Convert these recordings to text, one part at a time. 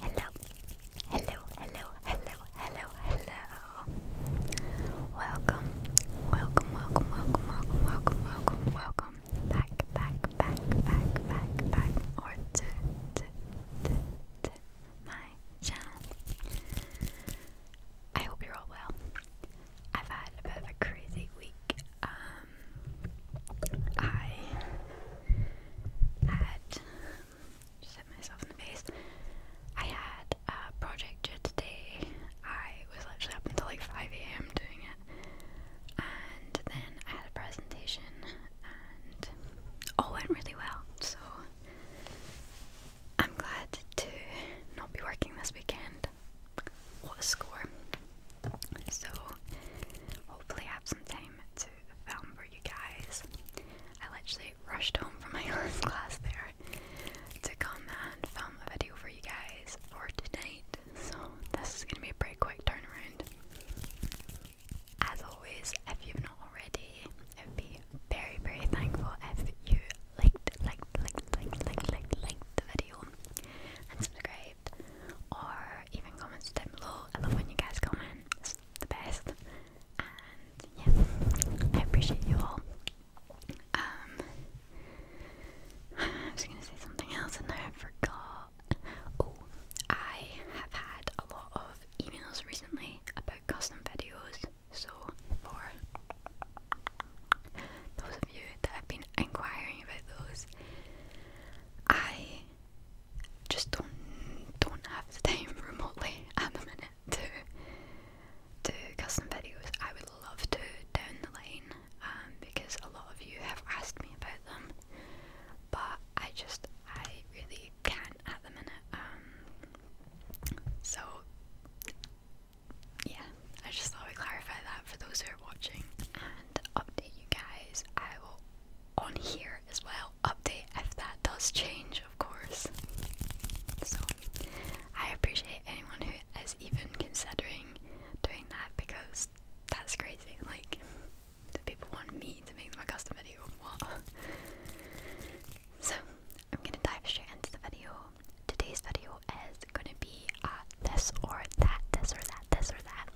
Hello, hello, hello, hello, hello, hello. Welcome, welcome, welcome, welcome, welcome, welcome, welcome, welcome. Back, back, back, back, back, back, or to, to, to, to my channel. I hope you're all well. I've had a bit of a crazy week. Um, I had just hit myself in the face. I had a project due today. I was literally up until like 5 a.m. doing it, and then I had a presentation, and all went really well. So I'm glad to not be working this weekend. What a score! So hopefully, have some time to found um, for you guys. I literally rushed home from my last class there to come and film a video for you guys for tonight. So this is gonna be a pretty quick turnaround. As always, if you've not already, I'd be very, very thankful if you liked, liked, liked, liked, liked, liked, liked the video and subscribe or even comments down below. I love when you guys comment, the best. And yeah, I appreciate you all. Um, I was gonna say something else and now I forgot. Oh, I have had a lot of emails recently about custom videos. So, for those of you that have been inquiring about those, I just don't don't have the time remotely at the minute to do custom videos. I would love to down the line um, because a lot of you have asked me about them, but I just I really can't at the minute. Um, so yeah, I just thought I'd clarify that for those who are watching and update you guys. I will on here as well. Update if that does change, of course. So I appreciate anyone who is even considering doing that because that's crazy. Like, do people want me to make them a custom video? What? So I'm gonna dive straight into the video. Today's video is gonna be uh, this or that, this or that, this or that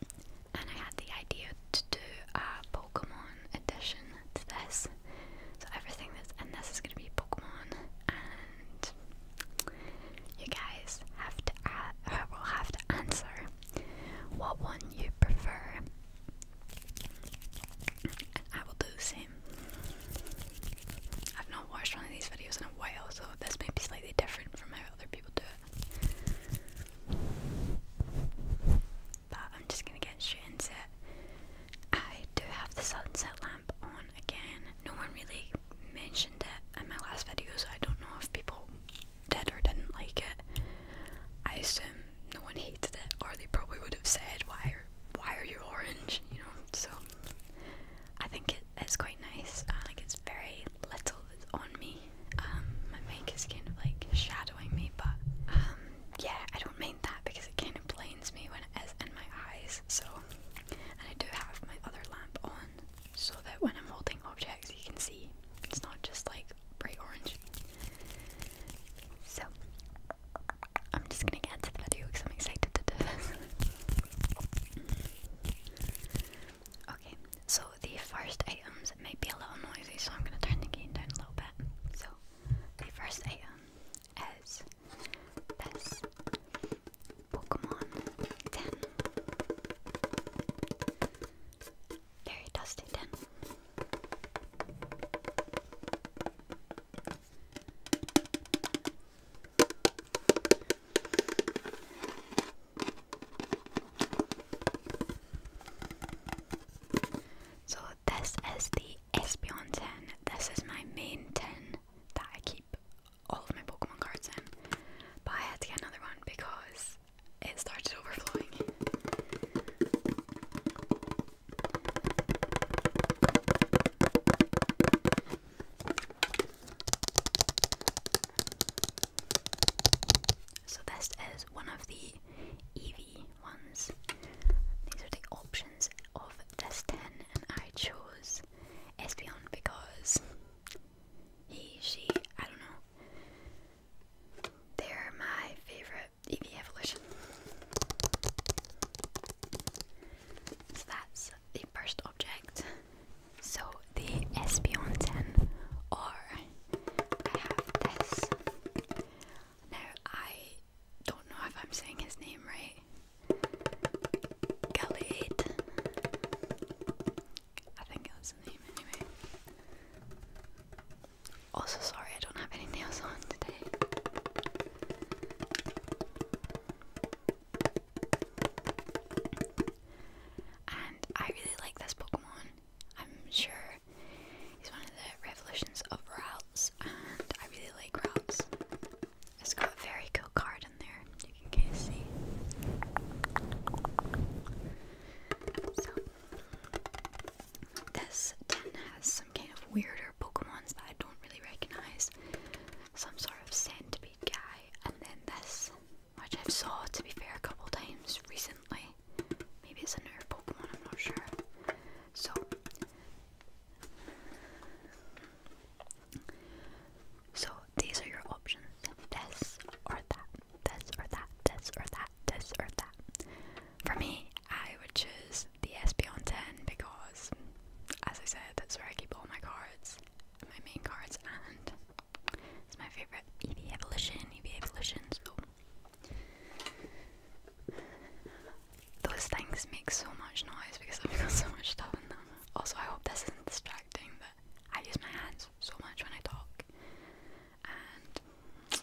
and I had the idea to do a Pokemon edition to this. So everything that's in this is going to be Pokemon, and you guys have to uh, will have to answer what one you prefer, I will do the same. I've not watched one of these videos in a while, so this may be slightly different from how other people do it. But I'm just gonna get straight into it. I do have the sunset lamp on again. No one really mentioned it in my last video, I don't know if people did or didn't like it. I assume no one hated it, or they probably would have said, "Why are why are you orange?" You know. So I think it's quite nice. I like it's very little on me. Um, my mic is kind of like shadowing me, but um, yeah, I don't mind that because it kind of blinds me when it is in my eyes. So, and I do have my other lamp on so that when I'm holding objects, you can see it's not just like bright orange. So, I'm just gonna get into the video because I'm excited to do this. Okay, so the first items may be a little noisy, so I'm gonna turn the gain down a little bit. So the first item is this Pokemon tin. Very dusty tin. So this is the Espeon Ten. This is my main Ten that I keep all of my Pokemon cards in. But I had to get another one because it started overflowing. So this is one of the EV ones. These are the options of this ten, and I chose Espeon because he, she, I don't know. They're my favourite EV evolution. So that's the first object. So the Espion 10 or I have this. Now I don't know if I'm saying his name right. Galade. I think that's the name anyway. Also sorry I don't have any nails on today. And I really like this Pokemon. I'm sure he's one of the revolutions of routes, and I really like routes. It's got a very cool card in there, you can kind of see. So, this has some kind of weirder Pokemon that I don't really recognize. Some sort of centipede guy, and then this which I've saw, to be fair, a couple times recently. Maybe it's a nerve Pokemon, I'm not sure. So, so these are your options: this or that, this or that, this or that, this or that. For me, I would choose the Espeon 10 because, as I said, that's where I keep all my cards, my main cards, and it's my favorite EV Evolution, EV Evolution, those things make so much noise because I've got so much stuff in them. Also, I hope this isn't distracting, but I use my hands so much when I talk, and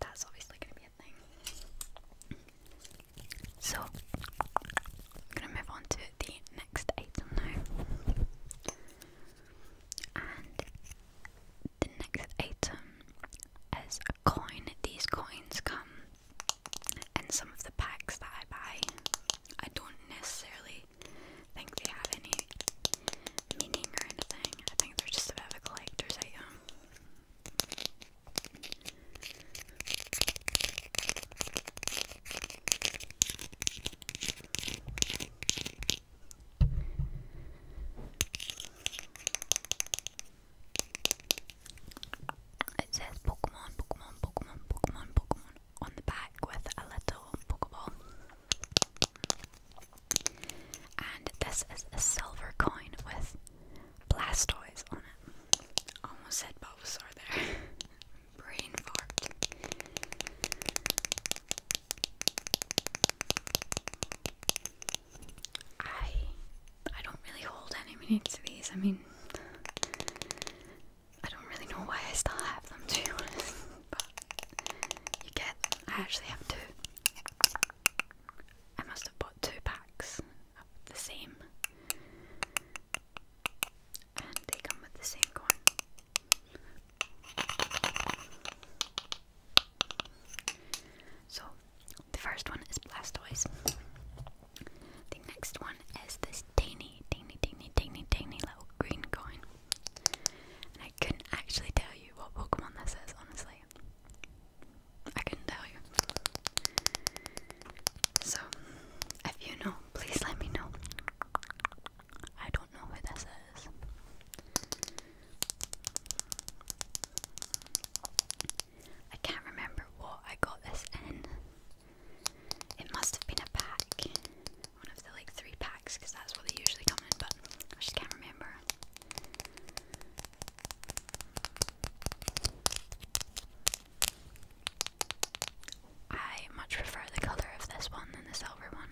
that's obviously going to be a thing. So, I'm going to move on to the next item now. And the next item is a coin. These coins come in some of the packs that I buy. I don't necessarily think they have any meaning or anything. I think they're just a bit a collector's item. It says Pokemon, Pokemon, Pokemon, Pokemon, Pokemon on the back with a little Pokeball. And this is a silver coin with Blastoise on it. Almost said both are there. brain fart. I I don't really hold any meaning to these. I mean, I don't really know why I still have them to be honest. But you get I actually have two. I must have bought two packs of the same and they come with the same coin. So, the first one is Blastoise. The next one is this tiny, tiny, tiny, tiny, tiny little green coin. I couldn't actually tell you what Pokemon this is, honestly. I couldn't tell you. So, if you know, please let me know. I don't know who this is. I can't remember what I got this in. It must have been a pack. One of the like three packs because that's what they usually come in, but I just can't remember. I much prefer the color of this one than the silver one.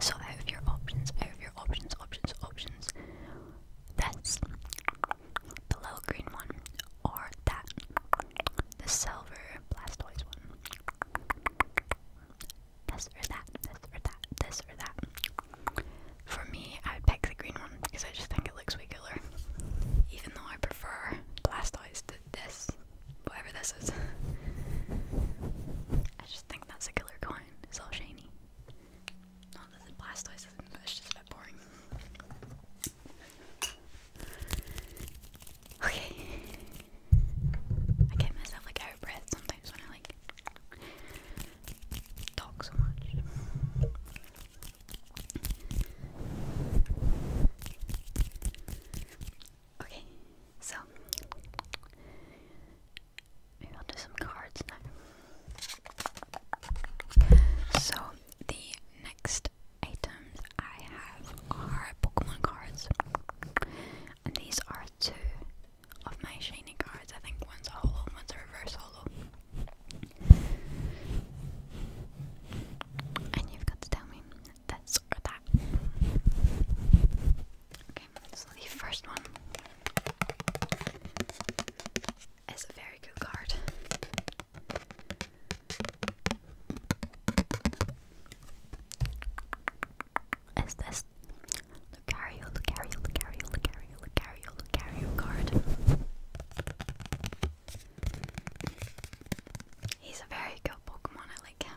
So out of your options, out of your options, options, options, that's the little green one, or that, the silver Blastoise one. This or that, this or that, this or that. For me, I would pick the green one because I just think it looks way cooler. Even though I prefer Blastoise to this, whatever this is. I just think that's a killer coin. It's all shiny. Not the Blastoise is a bit boring. Okay. I get myself like out of breath sometimes when I like talk so much. Okay, so I'll do some cards now. So the next items I have are Pokemon cards. And these are two of my shiny cards. I think one's a holo, one's a reverse And you've got to tell me this or that so the first one is a very good card. Is this Lucario, Lucario, Lucario, Lucario, Lucario, Lucario card? He's a very good Pokemon, I like him.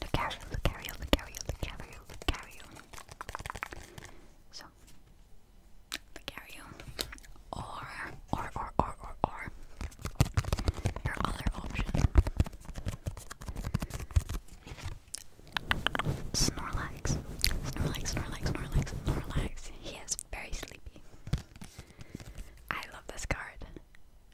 Lucario, Lucario, Lucario, Lucario, Lucario. So, Lucario, or, or, or, or, or, or, your other option. Snorlax. Snorlax, Snorlax, Snorlax, Snorlax. He is very sleepy. I love this card.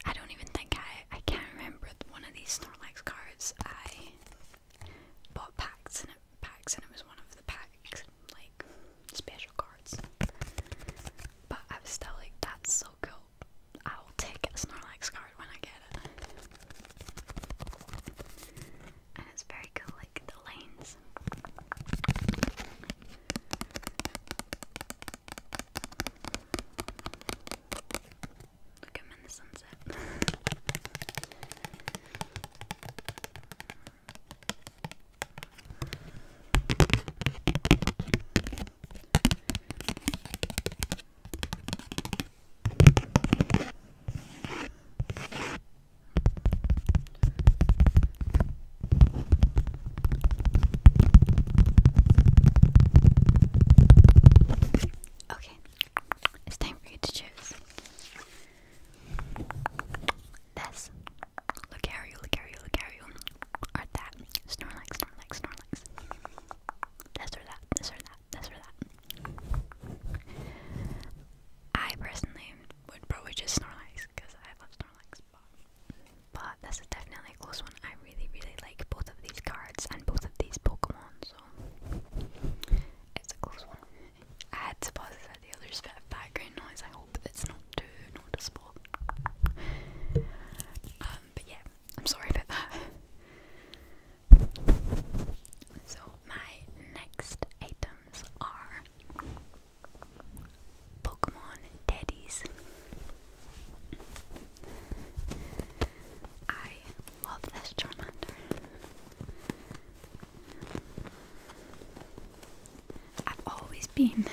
I don't even think I I can't remember one of these Snorlax cards. I bought packs and it packs and it was one of the packs like special cards. But I was still like, that's so cool. I'll take a Snorlax card when I get it. And it's very cool, like the lanes. Look at him in the sunset. Okay, it's time for you to choose. This, look at you, look at you, look at you, or that, Snorlax, Snorlax, Snorlax. This or that, this or that, this or that. I personally would probably just Snorlax because I love Snorlax, but but this is definitely a close one. I really, really like both of these cards and both of these Pokemon, so it's a close one. I had to pause it at the other bit of background noise. I hope it's not too noticeable. Um, but yeah, I'm sorry about that. So my next items are Pokemon Teddies. I love this Charmander. I've always been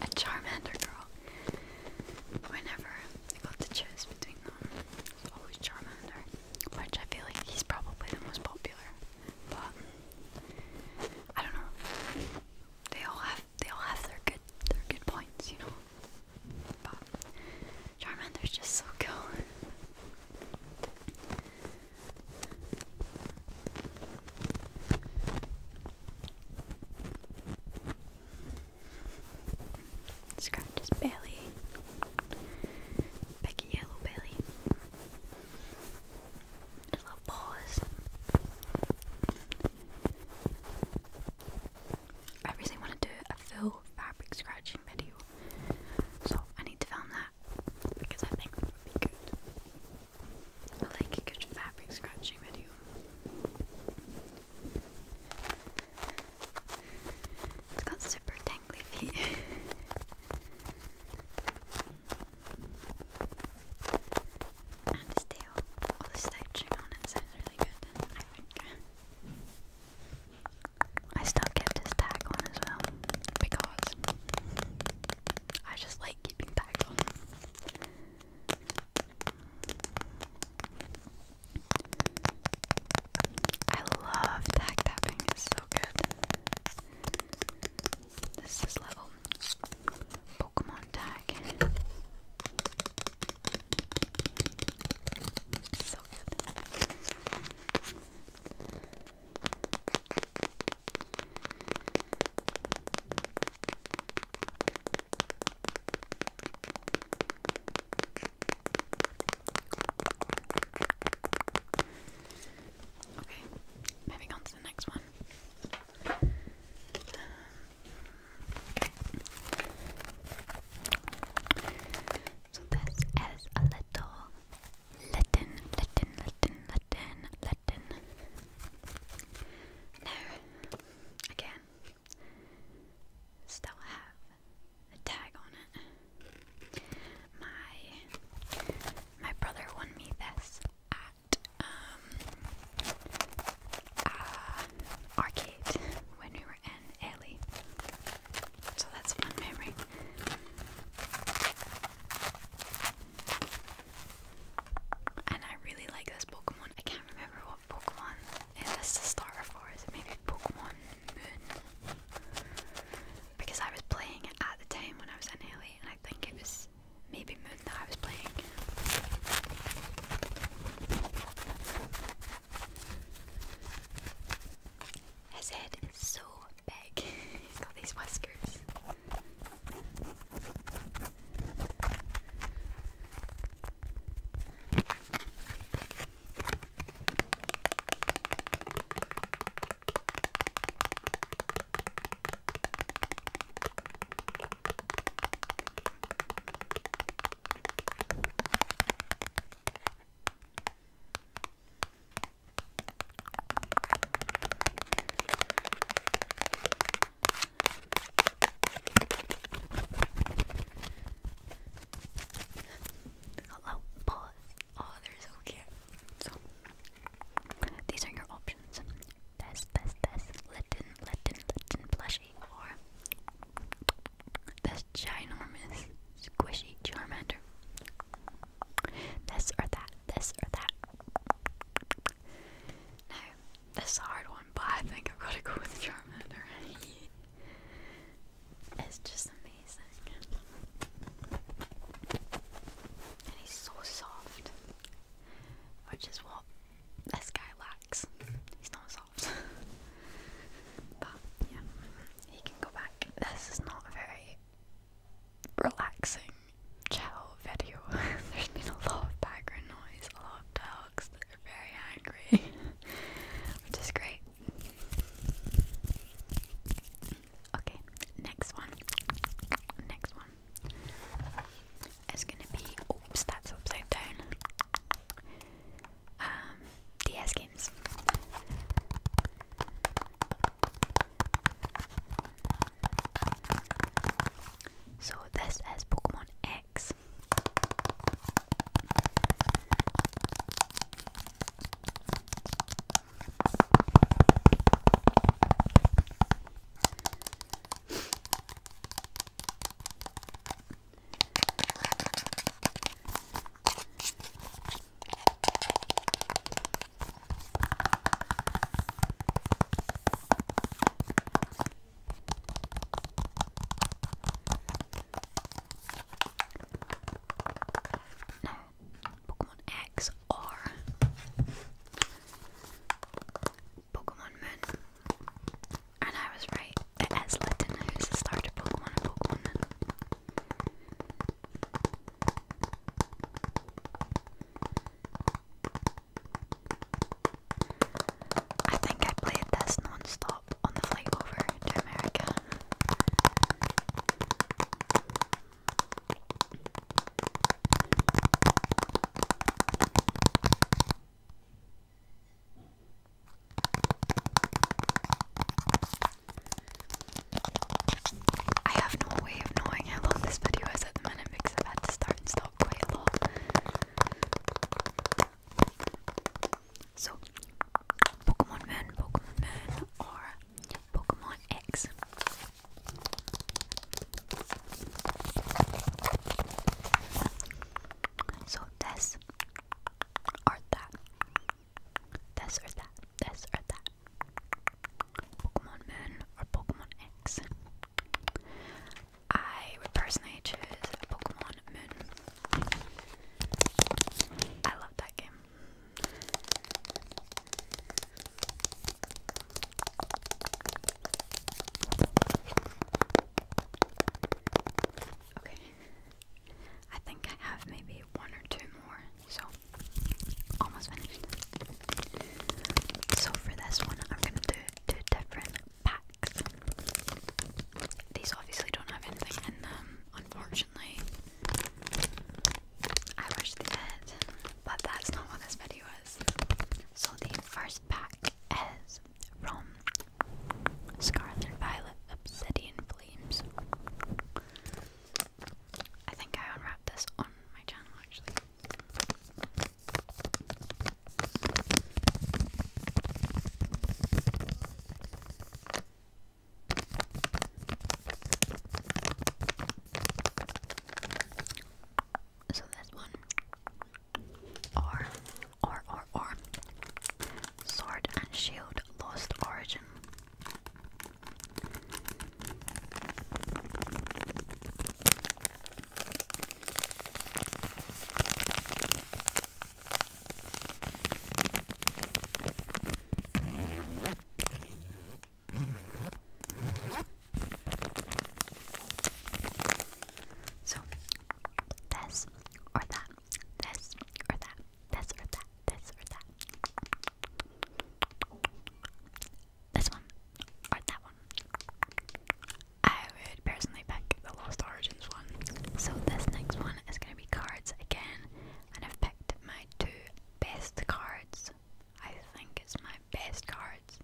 a Charmander girl. Whenever I got to choose between them, it's always Charmander, which I feel like he's probably the most popular. But I don't know. They all have they all have their good their good points, you know. But Charmander's just so cool. Scratch his belly. Big yellow belly. little paws. I really want to do a full fabric scratching video, so I need to film that because I think that would be good. I like a fabric scratching video. It's got super tangly feet. and his all the stitching on it sounds I still kept his tag on as well because I just like keeping tags on. I love tag tapping, it's so good. This is level Okay, moving on to the next one. So this is a little Latin, Latin, Latin, Latin, Latin. Now, again, still have the tag on it. My my brother won me this at um, uh, Arcade when we were in Italy. So that's one memory. And I really like this Pokemon. I can't remember what Pokemon it is the starter for. Is it maybe Pokemon Moon? Because I was playing it at the time when I was in LA and I think it was maybe moon that I was playing. His head is so big. He's got these whiskers. Hello, pause. Oh, they're so cute. So, these are your options. Test, test, test. Lipton, Lipton, Lipton blush this ginormous squishy Charmander. This or that, this or that. No, this is hard one, but I think I've got to go with Charmander. it's just amazing. And he's so soft, which is what this guy lacks. He's not soft. but yeah, he can go back. This is not a very relaxing, chill video. There's been a lot of background noise, a lot of dogs that are very angry, which is great. Okay, next one. Next one. It's gonna be oops, that's upside down. Um, DS games. So this is Pokemon X. No, Pokemon X or Pokemon Moon. And I was right, it is Littena who's the starter Pokemon in Pokemon Nano. I think I played this non on the flight over to America. I have no way of knowing how long this video is at the minute because i had to start and stop quite a lot. So, Pokemon Moon, Pokemon Moon, or Pokemon X. So this or that. This or that. This or that. Pokemon Moon or Pokemon X. I would personally choose Pokemon Moon. I love that game. Okay. I think I have maybe one or two more, so almost finished. So for this one, I'm gonna do two different packs. These obviously don't have anything in them, unfortunately. I wish they did, but that's not what this video is. So the first this pack as from Scarlet Violet Obsidian Flames. I think I unwrapped this on my channel actually. So, this one or, or, or, or. Sword and Shield Lost Origin. So, this or that, this or that, this or that, this or that. This one or that one. I would personally pick the Lost Origins one. So, this next one is going to be cards again, and I've picked my two best cards. I think it's my best cards.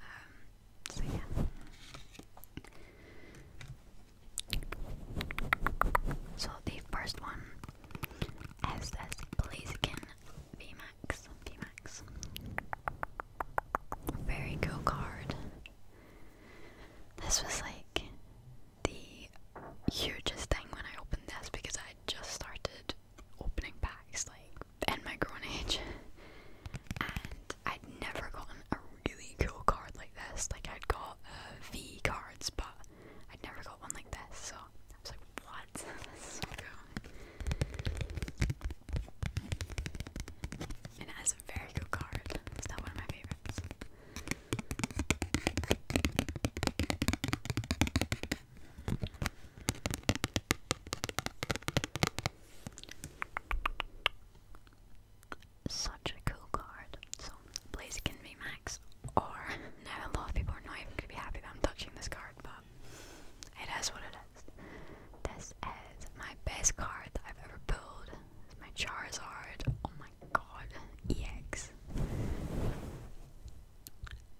Um, so yeah. So the first one is this Blaziken VMAX. VMAX. Very cool card. This was like the hugest thing when I opened this because I just started opening packs like and my grown age, and I'd never gotten a really cool card like this. Like I'd got V cards, but I'd never got one like this. So I was like, "What? this is so cool!" And it a very good card. It's not one of my favorites. Such a cool card. So, Blaze can be max. Or, now a lot of people are not even going to be happy that I'm touching this card, but it is what it is. This is my best card that I've ever pulled. It's my Charizard. Oh my god. EX.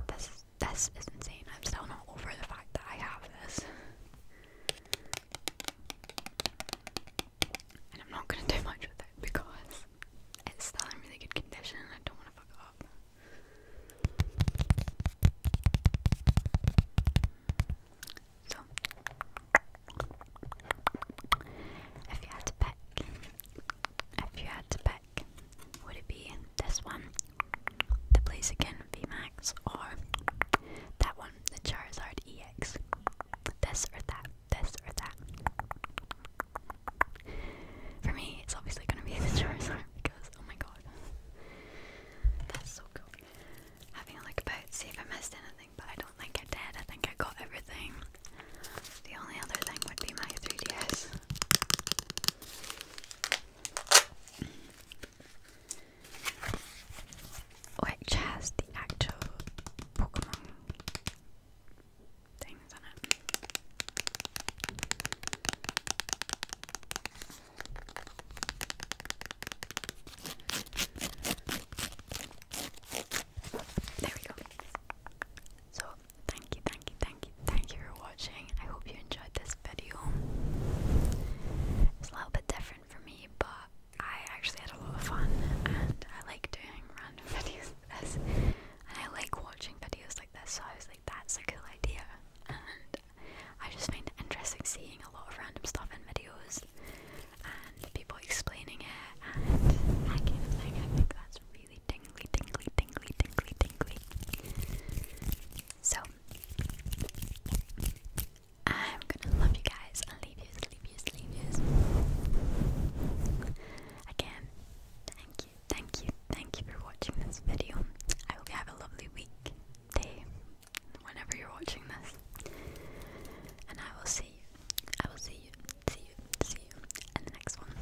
This this is insane. I'm still not over the fact that I have this. And I'm not gonna do much with it because it's still in really good condition I don't wanna fuck up. So if you had to pick if you had to pick would it be this one the place again, Max, or that one, the Charizard EX. This or that, this or that. For me, it's obviously gonna be the Charizard because, oh my god. That's so cool. Having a look about, see if I missed anything, but I don't think I did. I think I got everything. The only other thing would be my 3DS which has the actual Pokemon things on it. There we go. So, thank you, thank you, thank you, thank you for watching. I hope you enjoyed this video. It's a little bit different for me, but I actually had a lot of fun and I like doing random videos like this. I like watching videos like this, so I was like, that's a cool idea. And I just find it interesting seeing a lot of random stuff in videos and people explaining it and that kind of thing. I that's really tingly, tingly, tingly, tingly, tingly. So I'm gonna love you guys and leave you, leave you, leave you. Again, thank you, thank you, thank you for watching this video. I hope you have a lovely week, day, whenever you're watching this. And I will see you, I will see you, see you, see you in the next one.